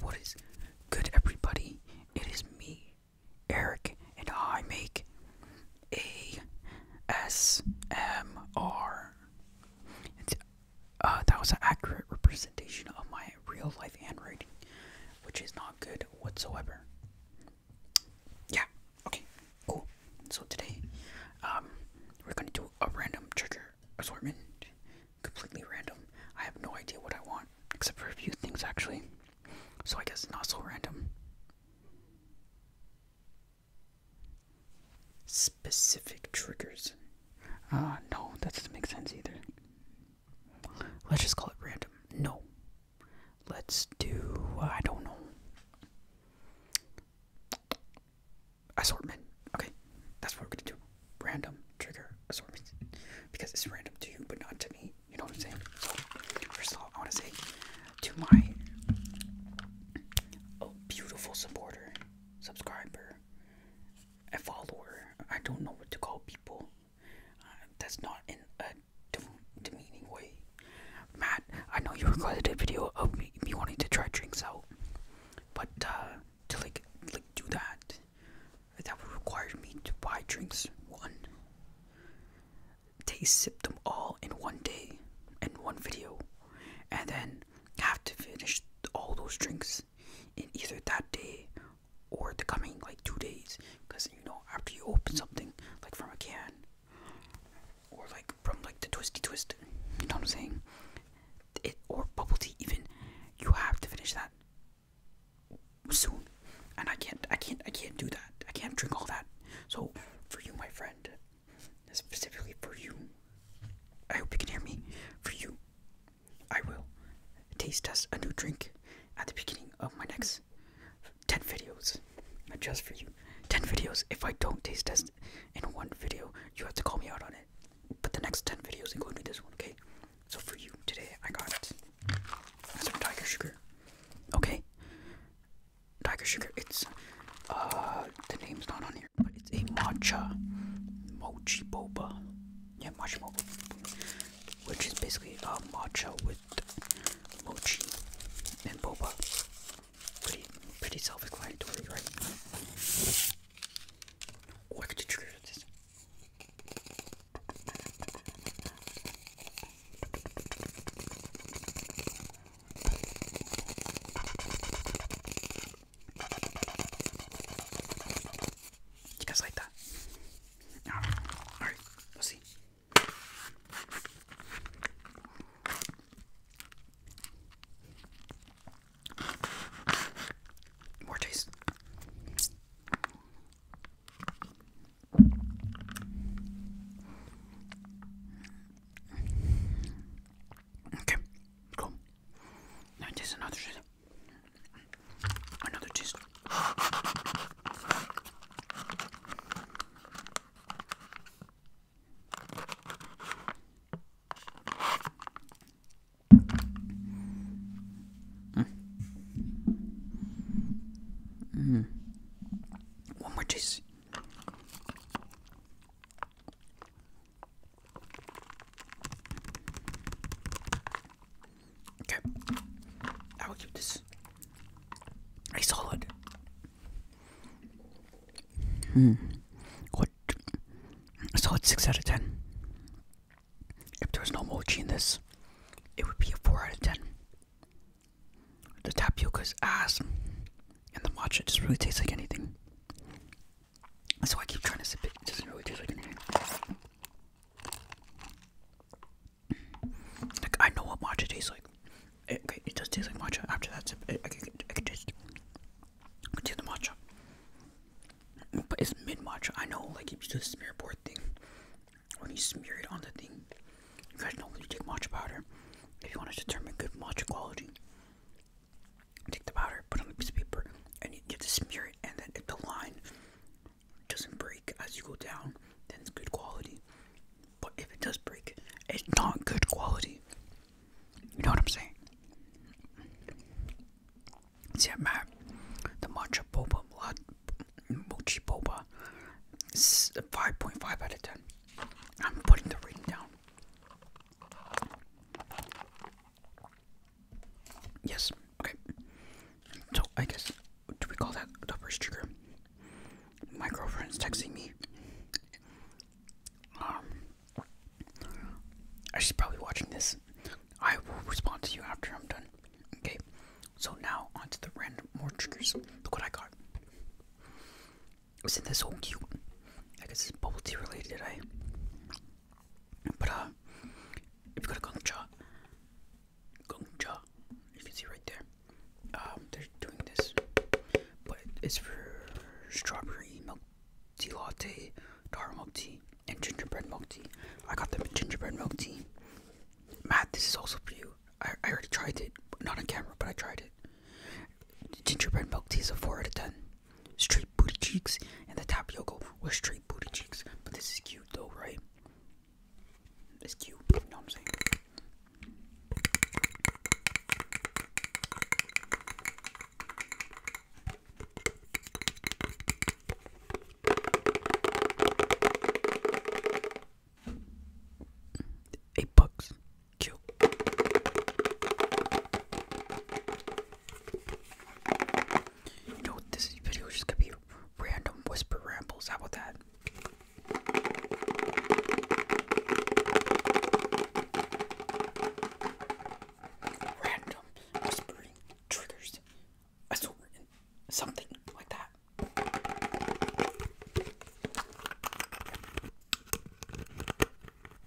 what is good, everybody? It is me, Eric, and I make a S M R. Uh, that was an accurate representation of my real life handwriting, which is not good whatsoever. Yeah, okay, cool. So today, um, we're gonna do a random trigger assortment. Completely random. I have no idea what I want, except for a few things actually. So I guess not so random. Specific triggers. Uh, no, that doesn't make sense either. Let's just call it random. No. Let's do, I don't know. Assortment. Okay, that's what we're gonna do. Random trigger assortment. Because it's random to you, but not to me. You know what I'm saying? So, first of all, I wanna say to my oh, beautiful supporter, subscriber, a follower. I don't know what to call people. Uh, that's not in a dem- demeaning way. Matt, I know you recorded a video of me, wanting to try drinks out, but uh, to like like do that, that would require me to buy drinks one. taste sip them all in one day, in one video, and then have to finish all those drinks in either that day or the coming like two days because you know after you open something like from a can or like from like the twisty twist you know what i'm saying it or bubble tea even you have to finish that soon and i can't i can't i can't do that i can't drink all that so for you my friend specifically for you i hope you can hear me for you I will taste test a new drink at the beginning of my next 10 videos. Just for you. 10 videos. If I don't taste test in one video, you have to call me out on it. But the next 10 videos, including this one, okay? So for you today, I got some tiger sugar. Okay? Tiger sugar. It's. Uh, the name's not on here but it's a matcha mochi boba. Yeah, matcha boba, which is basically a uh, matcha with mochi and boba. Pretty, pretty self-explanatory, right? Oh, I could do this. You guys like that? Alright, we'll see. More taste. Okay, cool. Now taste another hmm. cheese. Hmm. One more cheese. Okay. I will give this a solid. Hmm. What? solid 6 out of 10. If there was no mochi in this, it would be a 4 out of 10. The tapioca is awesome, and the matcha just really tastes like anything. That's why I keep trying to sip it. It doesn't really taste like anything. Like I know what matcha tastes like. It, okay, it does taste like matcha. After that sip, I, can, taste. I can taste the matcha. But it's mid matcha. I know, like if you do the smear board thing, when you smear it on the thing, you guys know when you take matcha powder, if you want to determine good matcha quality, take the powder, put on the piece of paper, and you get to smear it. And then if the line doesn't break as you go down, then it's good quality. But if it does break, it's not good quality. You know what I'm saying? See, I Matt, the matcha boba, mochi boba, 5.5 out of 10. I'm putting the rating down. Yes, okay. So, I guess, do we call that the first trigger? My girlfriend's texting me. Um, she's probably watching this. I will respond to you after I'm done. Okay, so now onto the random more triggers. Look what I got is in this whole cute? I guess it's bubble tea related, right? Eh? But uh, if you go to Gongcha, Gongcha, you can see right there. Um, they're doing this, but it's for strawberry milk tea latte, taro milk tea, and gingerbread milk tea. I got the gingerbread milk tea. Matt, this is also for you. I, I already tried it, not on camera, but I tried it. Gingerbread milk tea is a 4 out of 10 straight booty cheeks, and the top yoga was straight booty cheeks. But this is cute though, right? It's cute, you know what I'm saying? Eight bucks. You know, this video is just gonna be random whisper rambles. How about that? Random whispering triggers something like that.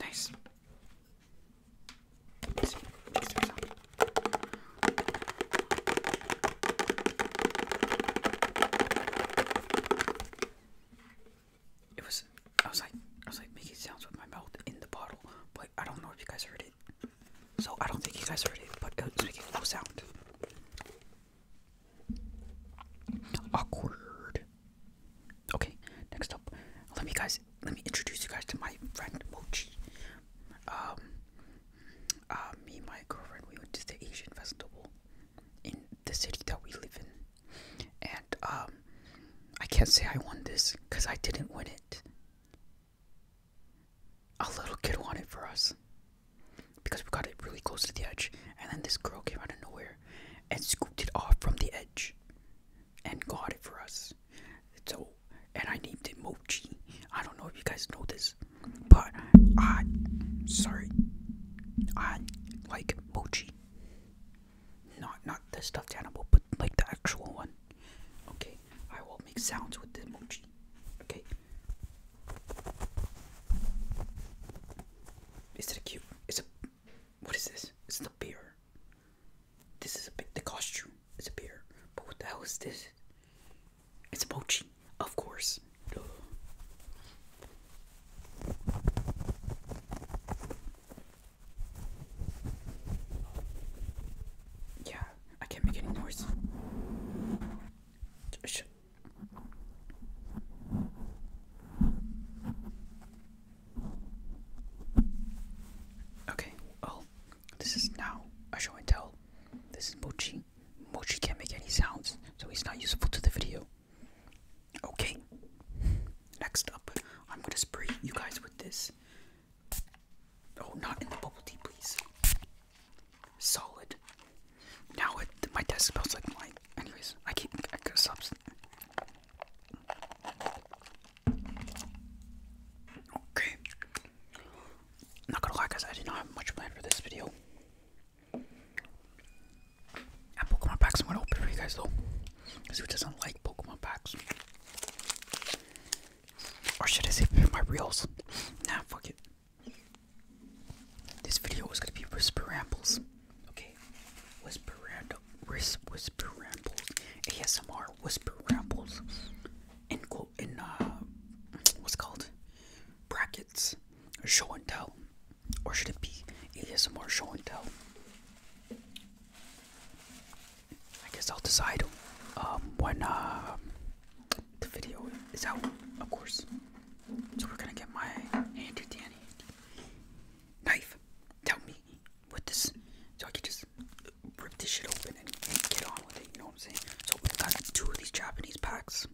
Nice. Let's see. Let's do it was I was like I was like making sounds with my mouth in the bottle, but I don't know if you guys heard it. So I don't think you guys heard it, but it was making no sound. Awkward. Okay, next up, let me guys let me introduce you guys to my friend Mochi. Um uh me my girlfriend we went to the Asian festival in the city that we live in. And um, I can't say I won this because I didn't win it. A little kid won it for us because we got it really close to the edge. And then this girl came out of nowhere and scooped it off from the edge and got it for us. So, and I named it Mochi. I don't know if you guys know this, but I, sorry, I like mochi. Not not the stuffed animal, but like the actual one. Okay, I will make sounds with the mochi. Okay. Is it a cute? It's a. What is this? Is it a bear? This is a big. The costume is a bear. But what the hell is this? It's a mochi, of course. Yeah, I can't make any noise. okay, well, this is now a show tell. This is Mochi and Mochi can't make any sounds, so he's not useful to the video. Okay, next up, I'm gonna spray you guys with this. Oh, not in the bubble tea, please. Solid. Now my desk smells like mine. Anyways, I keep I could stop. Okay. Not gonna lie, guys. I did not have much plan for this video. And Pokemon packs I'm gonna open for you guys though. Because who doesn't like Pokemon packs? Or should I say my reels? Nah, fuck it. This video is gonna be whisper rambles. Okay. Whisper ramble whisper rambles. ASMR whisper rambles. End quote in uh, what's called brackets show and tell, or should it be ASMR show and tell? I guess I'll decide um, when uh, the video is out, of course. So we're gonna get my handy dandy knife. Tell me with this, so I can just rip this shit open and, and get on with it. You know what I'm saying? So we got two of these Japanese packs.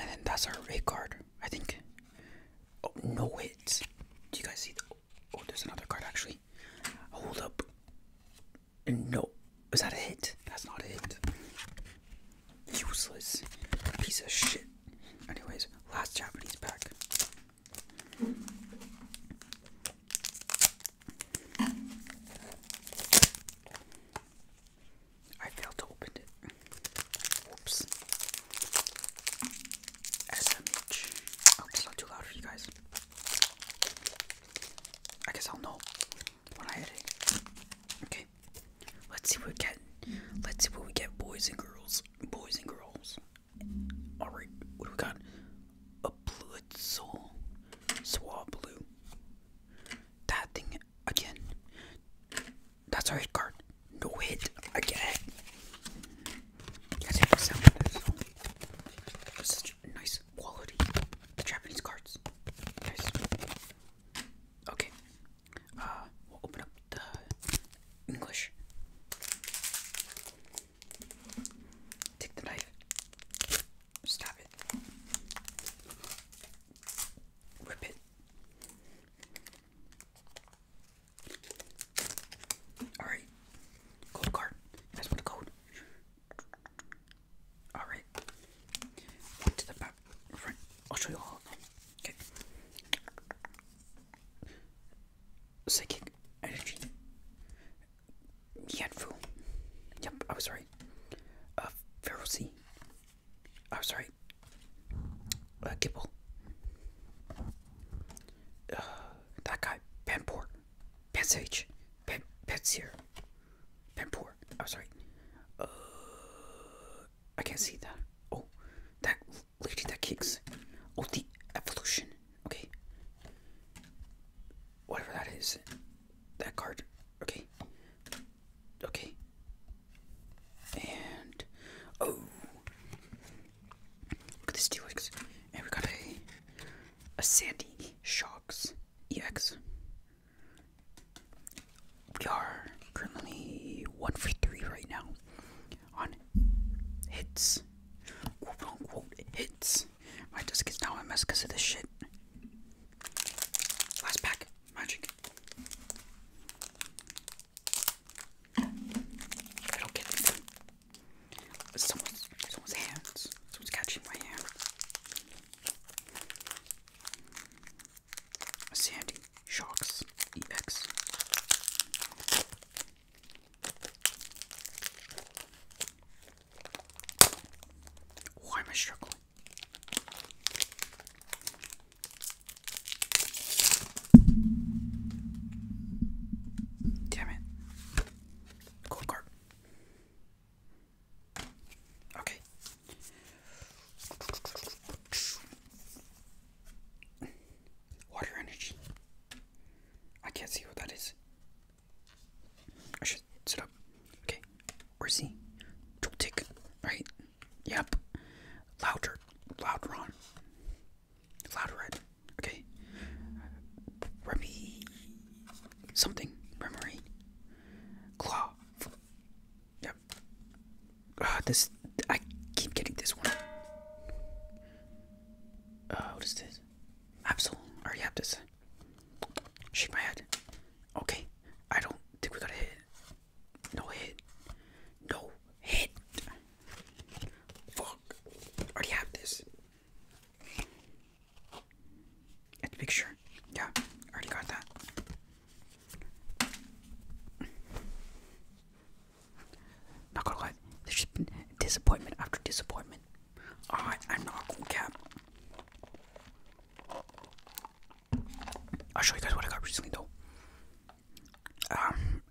and then that's our red card. I think. Oh no! It's. Do you guys see? The, oh, there's another card actually. Hold up. No, is that a hit? That's not a hit. Useless piece of shit. Anyways, last Japanese pack. I failed to open it. Whoops. SMH. I oh, it's not too loud for you guys. I guess I'll know when I hit it. Okay. Let's see what we get. Let's see what we get, boys and girls. Boys and girls. Alright, what do we got? A uh, blue soul. Swab blue. That thing again. That's a red card. No hit again. That's it. Sound this. Such nice quality. Japanese cards. Okay. Uh, we'll open up the English. Take the knife. Stab it. Rip it. Alright. Gold card. You guys want a Alright. One the back. Right. I'll show you all Okay. Psychic energy. Yanfu. Yep, I was right. Uh, I'm oh, sorry. Gibble. Uh, uh, that guy. Penport. Pensage. Pen Pensier. I'm oh, sorry. Uh, I can't see that. Oh, that lady that kicks. Oh, the evolution. Okay. Whatever that is. That card. Okay. Okay. And oh, look at this T-Rex, and we got a a Sandy Sharks EX. We are currently one for three right now on hits, hits. My desk is now a mess because of this shit. Last pack. Magic. It'll get me some. Someone's, someone's hands. Someone's catching my hand. Sandy Shocks EX. Why am I struggling? Damn it. Cool card. Okay. Water energy. I can't see what that is. I should sit up. Okay, where's he? Tick. Right. Yep. Louder. Louder on. Louder red. Okay. Remy. Something. Remory. Claw. Yep. Ah, this. I keep getting this one. Uh, what is this? Absol. Or Yaptis. Shake my head. Okay, I don't think we got a hit. No hit. No hit. Fuck. Already have this. At the picture. Yeah, already got that. Not gonna lie, there's just been disappointment after disappointment. I'm not gonna cap. I'll show you guys what I got recently though. Um,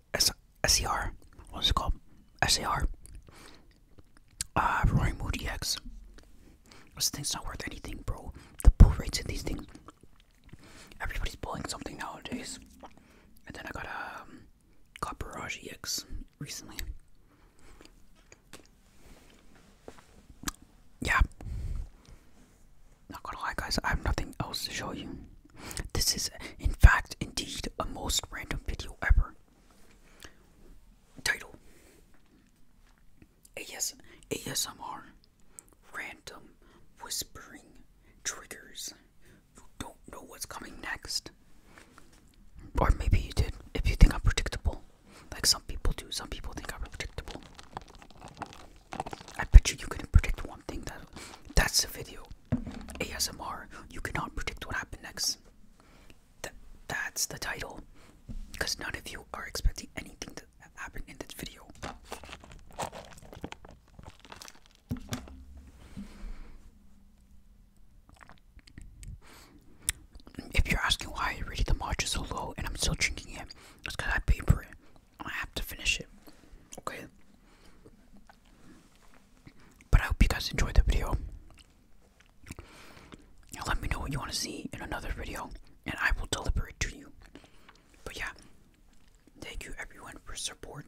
What's it called? SAR. Uh, Roaring Mood EX. This thing's not worth anything, bro. The pull rates in these things. Everybody's pulling something nowadays. And then I got a um, X recently. Yeah. Not gonna lie, guys, I have nothing else to show you. This is, in fact, indeed, a most random video ever. Title AS ASMR Random Whispering Triggers. don't know what's coming next. Or maybe you did, if you think I'm predictable. Like some people do. Some people think I'm predictable. I bet you you couldn't predict one thing. That that's the video. ASMR. You cannot predict what happened next. That that's the title. Because none of you are expecting anything to happen in this video. If you're asking why I rated the margin so low and I'm still drinking it, it's because I paid for it. I have to finish it. Okay. But I hope you guys enjoyed the video. let me know what you want to see in another video, and I will deliver it to you. But yeah, thank you everyone for support.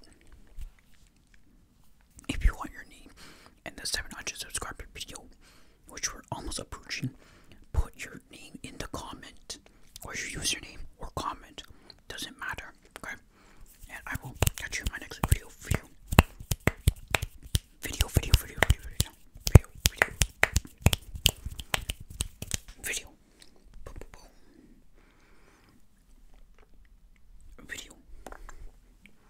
If you want your name and the 700 subscriber video, which we're almost approaching, put your name in the comment or your username or comment. Doesn't matter. Okay? And I will catch you in my next video for you. Video, video, video, video, video, video, video, video, boom, boom, boom. video.